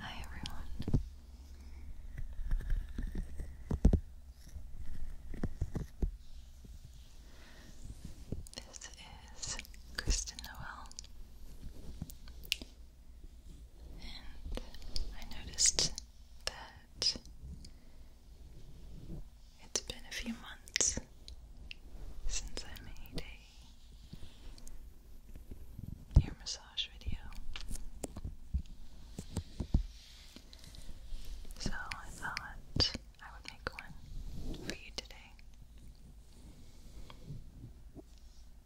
Hi everyone. This is Kristen Noel I noticed that it's been a few months since I made a ear massage video. So I thought I would make one for you today.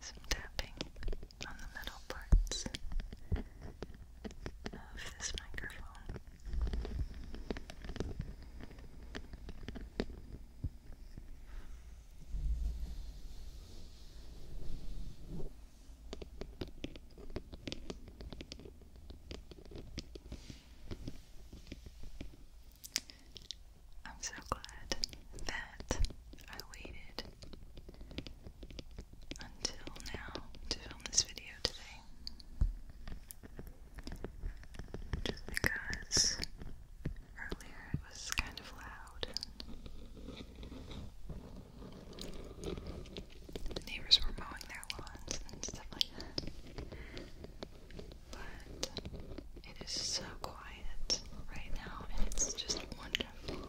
some tapping on the metal parts of this microphone. I'm so glad that I waited until now to film this video today. Just because earlier it was kind of loud the neighbors were mowing their lawns and stuff like that. But it is so quiet right now, and it's just wonderful.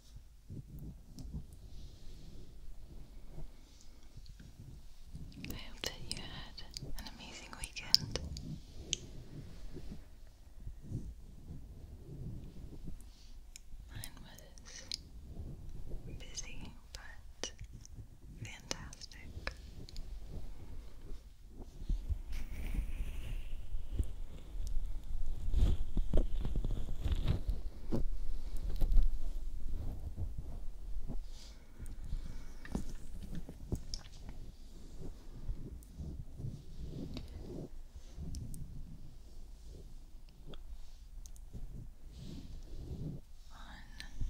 I hope that you had an amazing weekend. Mine was busy but fantastic.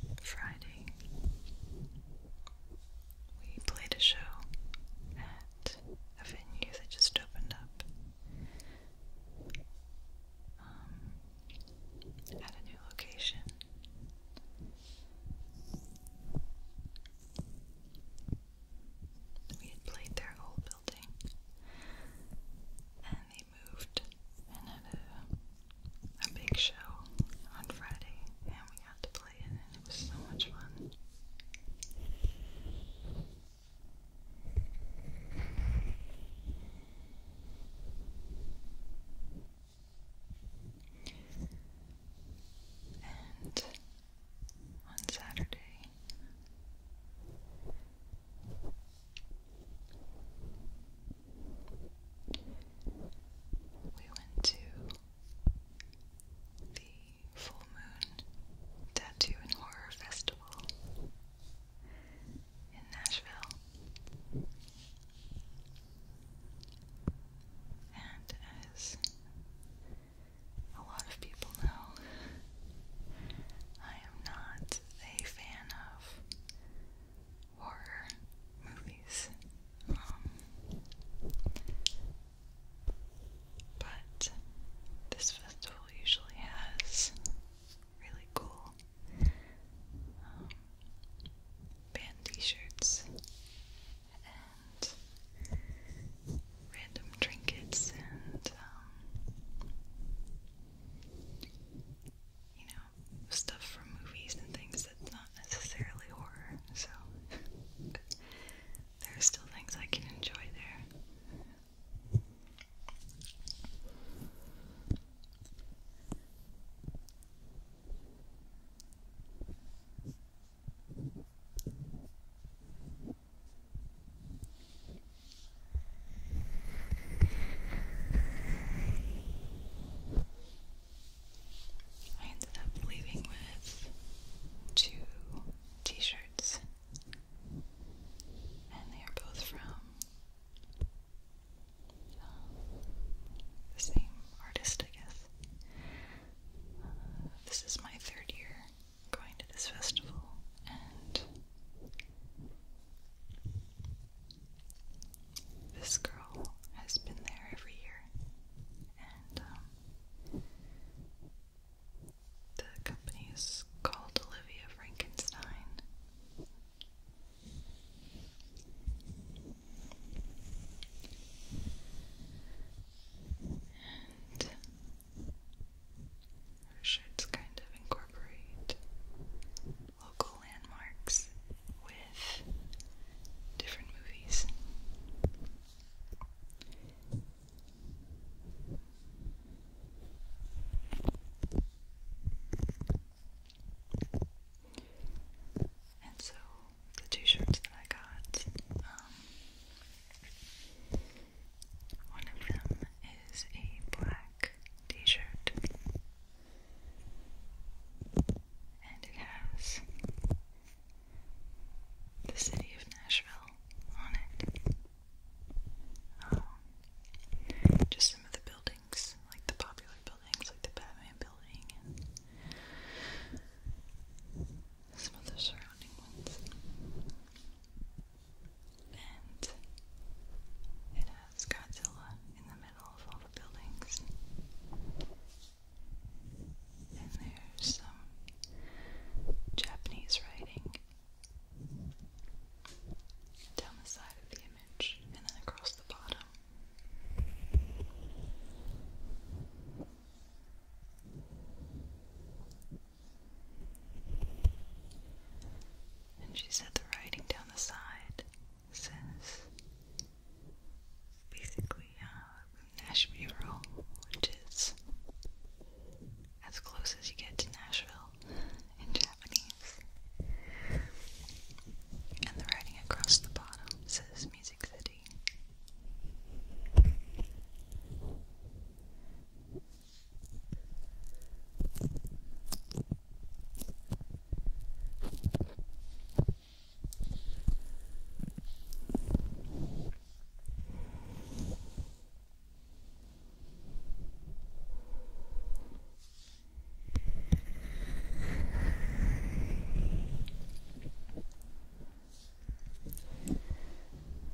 On Friday, we played a show at a venue that just opened up um, at a new location. We had played their old building, and they moved and had a, a big show on Friday, and we got to play it, and it was so much fun. And on Saturday, we went to the Full Moon Tattoo and Horror Festival in Nashville. And as a lot of people know, I am not a fan of horror movies. Um, but this festival usually has really cool um, band t-shirts and random trinkets and um, you know stuff from movies and things that's not necessarily horror so there are still things I can enjoy there I ended up leaving with two t shirts and they are both from um, the same artist, I guess. Uh, this is my third year going to this festival, and this girl has been there every year, and um, the company is called Olivia Frankenstein, and our kind of incorporate local landmarks with different movies. And so the t shirts that I got, um, one of them is a black t shirt, and it has the city of Nashville on it. Um, just some of the buildings, like the popular buildings, like the Batman building, some of the surrounding ones. And it has Godzilla in the middle of all the buildings. And there's some Japanese writing down the side of the image and then across the bottom. And she said the writing down the side says basically uh, Nashville, which is as close as you get to Nashville in Japanese. And the writing across the bottom says Music City.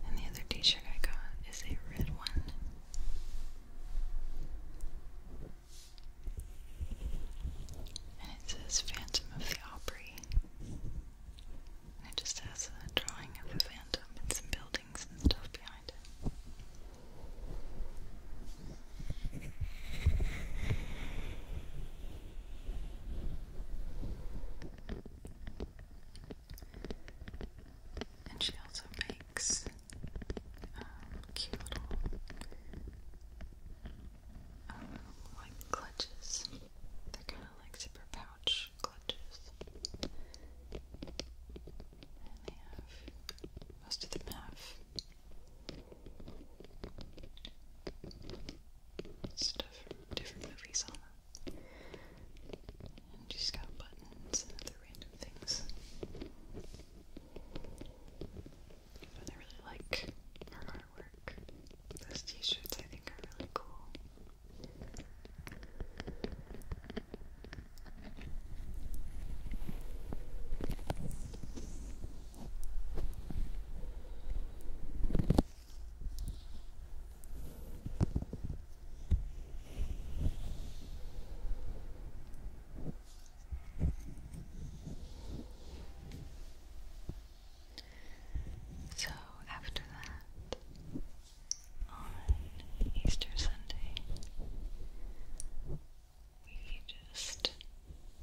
And the other t shirt I got is a red one. And it says Phantom of the Opera." it just has a drawing of a phantom and some buildings and she also makes um, cute little um, like clutches. They're kind of like zipper pouch clutches most of them have stuff from different movies on them. And just got buttons and other random things. But I really like her artwork. Those t shirts I think are really cool. So after that, on Easter Sunday, we just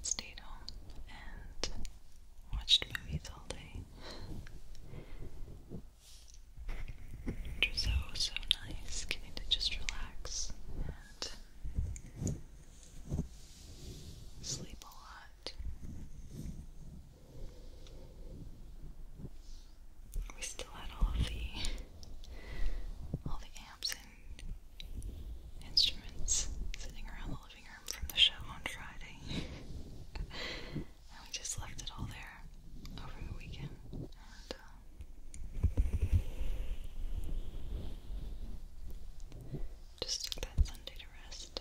stayed home and watched movies all day. Which was so, so nice getting to just relax and sleep a lot we still had all of the all the amps and instruments sitting around the living room from the show on Friday. and we just left it all there over the weekend. And, uh, just took that Sunday to rest.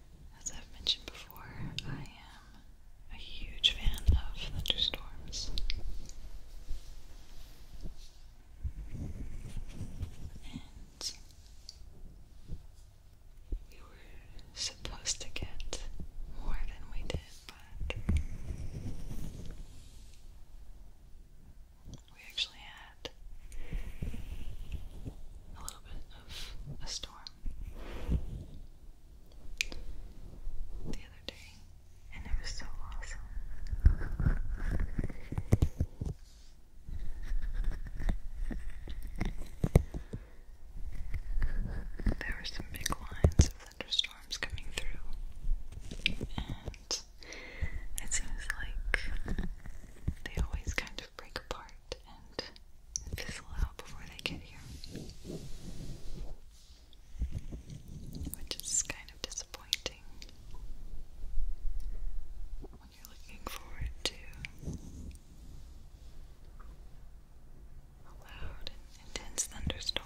As I've mentioned before, I am a huge fan of thunderstorms. And we were supposed to get more than we did, but we actually had a little bit a storm the other day, and it was so awesome. There were some big lines of thunderstorms coming through, and it seems like they always kind of break apart and fizzle out before they get here. Which is kind of disappointing when you're looking forward to a loud intense thunderstorm.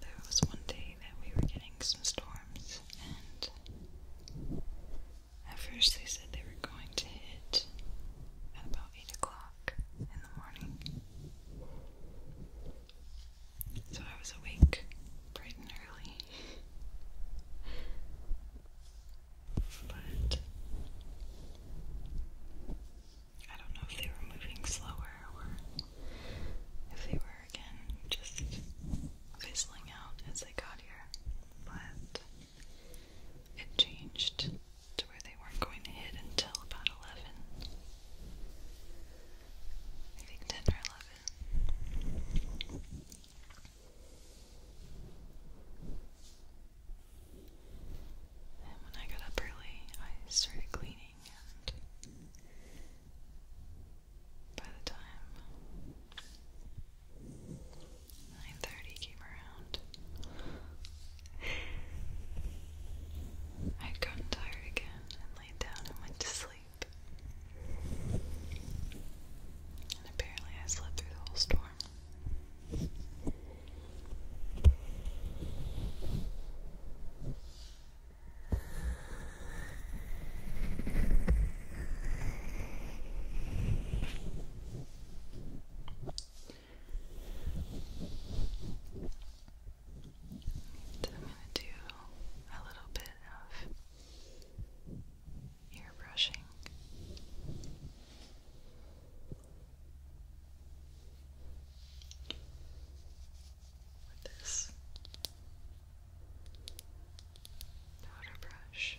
There was one day that we were getting some storms, and at first they said they were going to hit at about 8 o'clock in the morning. So I was awake bright and early. But I don't know if they were moving slower or if they were again just fizzling out as they got here, but it changed to where they weren't going to hit until about 11. I think 10 or 11. And when I got up early, I started cleaning by the time nine thirty came around, i had gotten tired again and laid down and went to sleep. And apparently, I slept through the whole storm. So I'm going to do a little bit of um, ear brushing with this powder brush.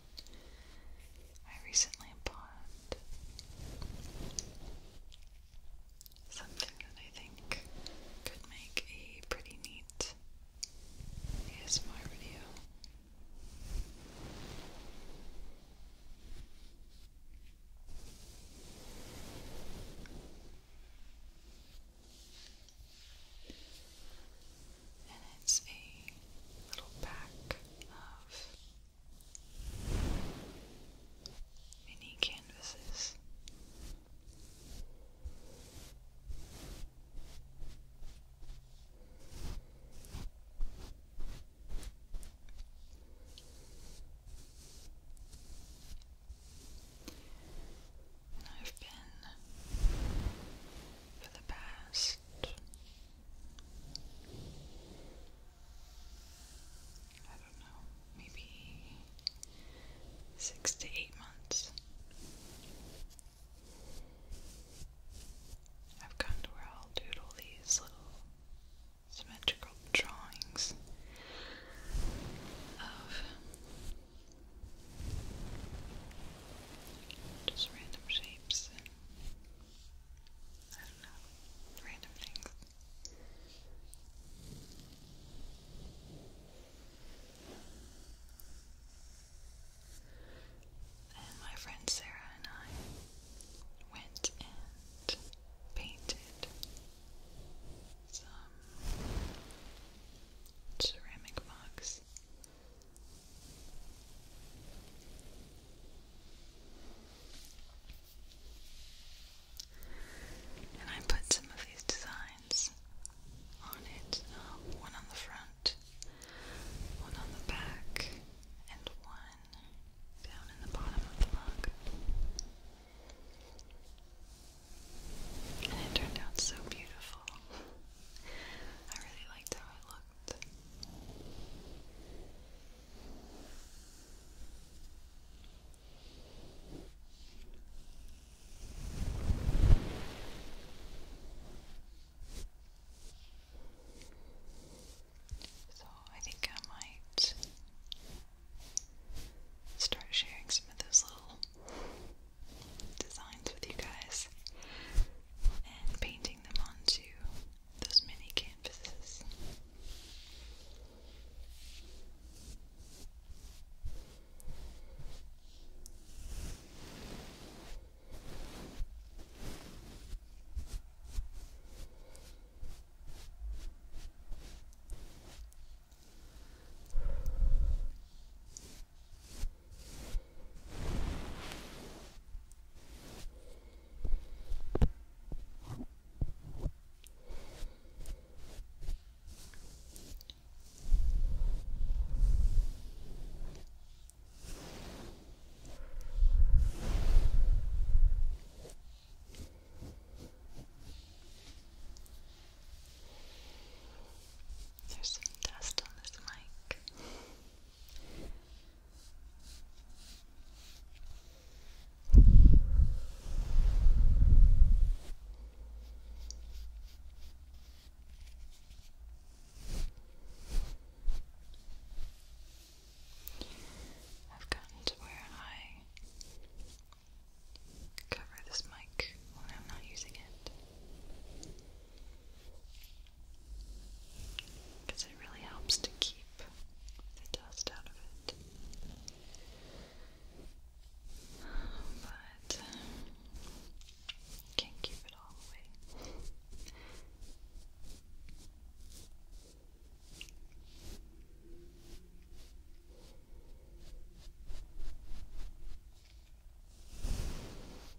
I recently bought something that I think could make a pretty neat ASMR video and it's a little pack of mini canvases. I've been for the past I don't know, maybe six to eight months. I've gotten to where I'll doodle these little symmetrical drawings of just random shapes I don't know, random things. And my friend Sarah and I went and painted some ceramic mugs and I put some of these designs on it uh, one on the front, one on the back, and one down in the bottom of the mug. And it turned out so beautiful. I really liked how it so, I think I might start sharing some of those little designs with you guys and painting them onto those mini canvases. There's some dust on this mic. I've gotten to where I cover this mic when I'm not using it because it really helps to keep the dust out of it. But can't keep it all away.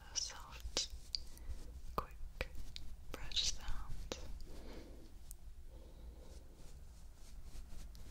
a soft, quick brush sound.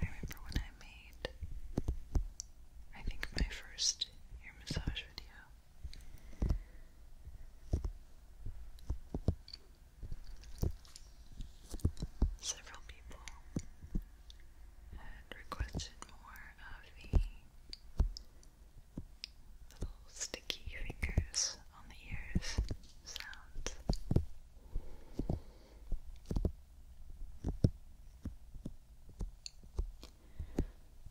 I remember when I made, I think, my first ear massage video. Several people had requested more of the little sticky fingers on the ears sounds.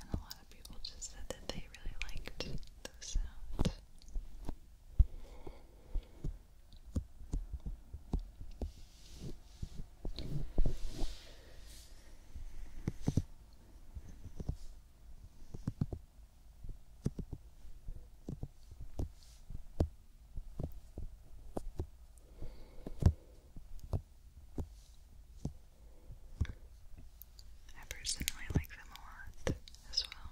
And a lot of people just said that they really liked those sounds. I personally like them a lot as well.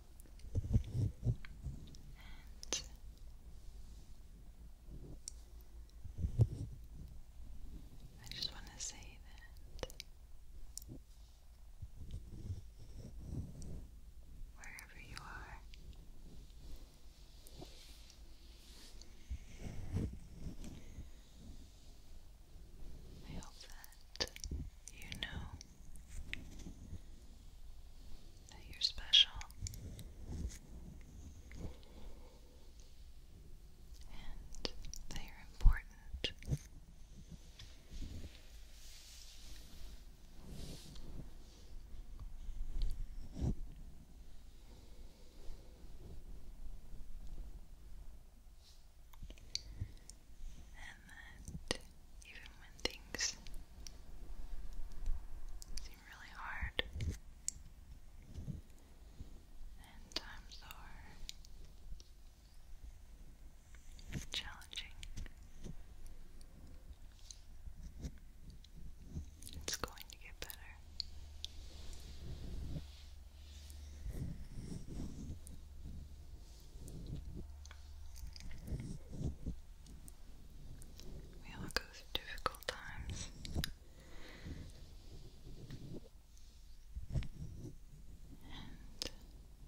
I just want to say that wherever you are, I hope that you know that you're special and that you're important that even when things seem really hard and times are challenging, it's going to get better. We all go through difficult times.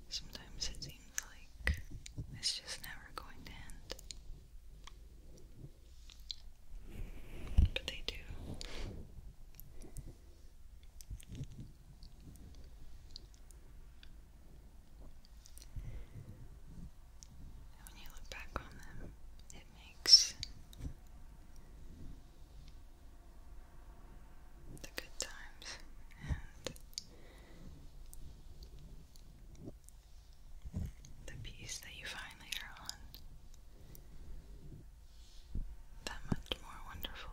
And sometimes it seems like it's just never going to end. But they do. And when you look back on them, it makes the good times and the peace that you find later on that much more wonderful.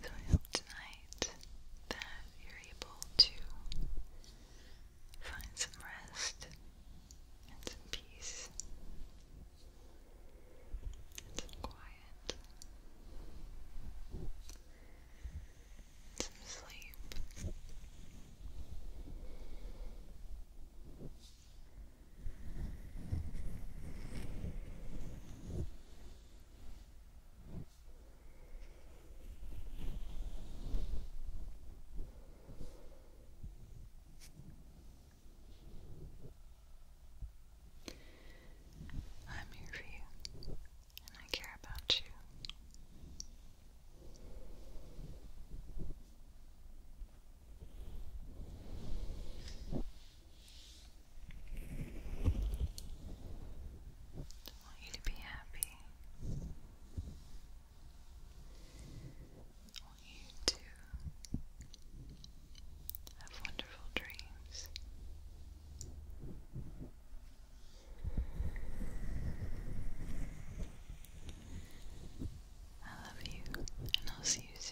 So I hope tonight that you're able to find some rest and some peace and some quiet, some sleep. I'm here for you, and I care about you. I want you to be happy. I want you to have wonderful dreams. I love you, and I'll see you soon.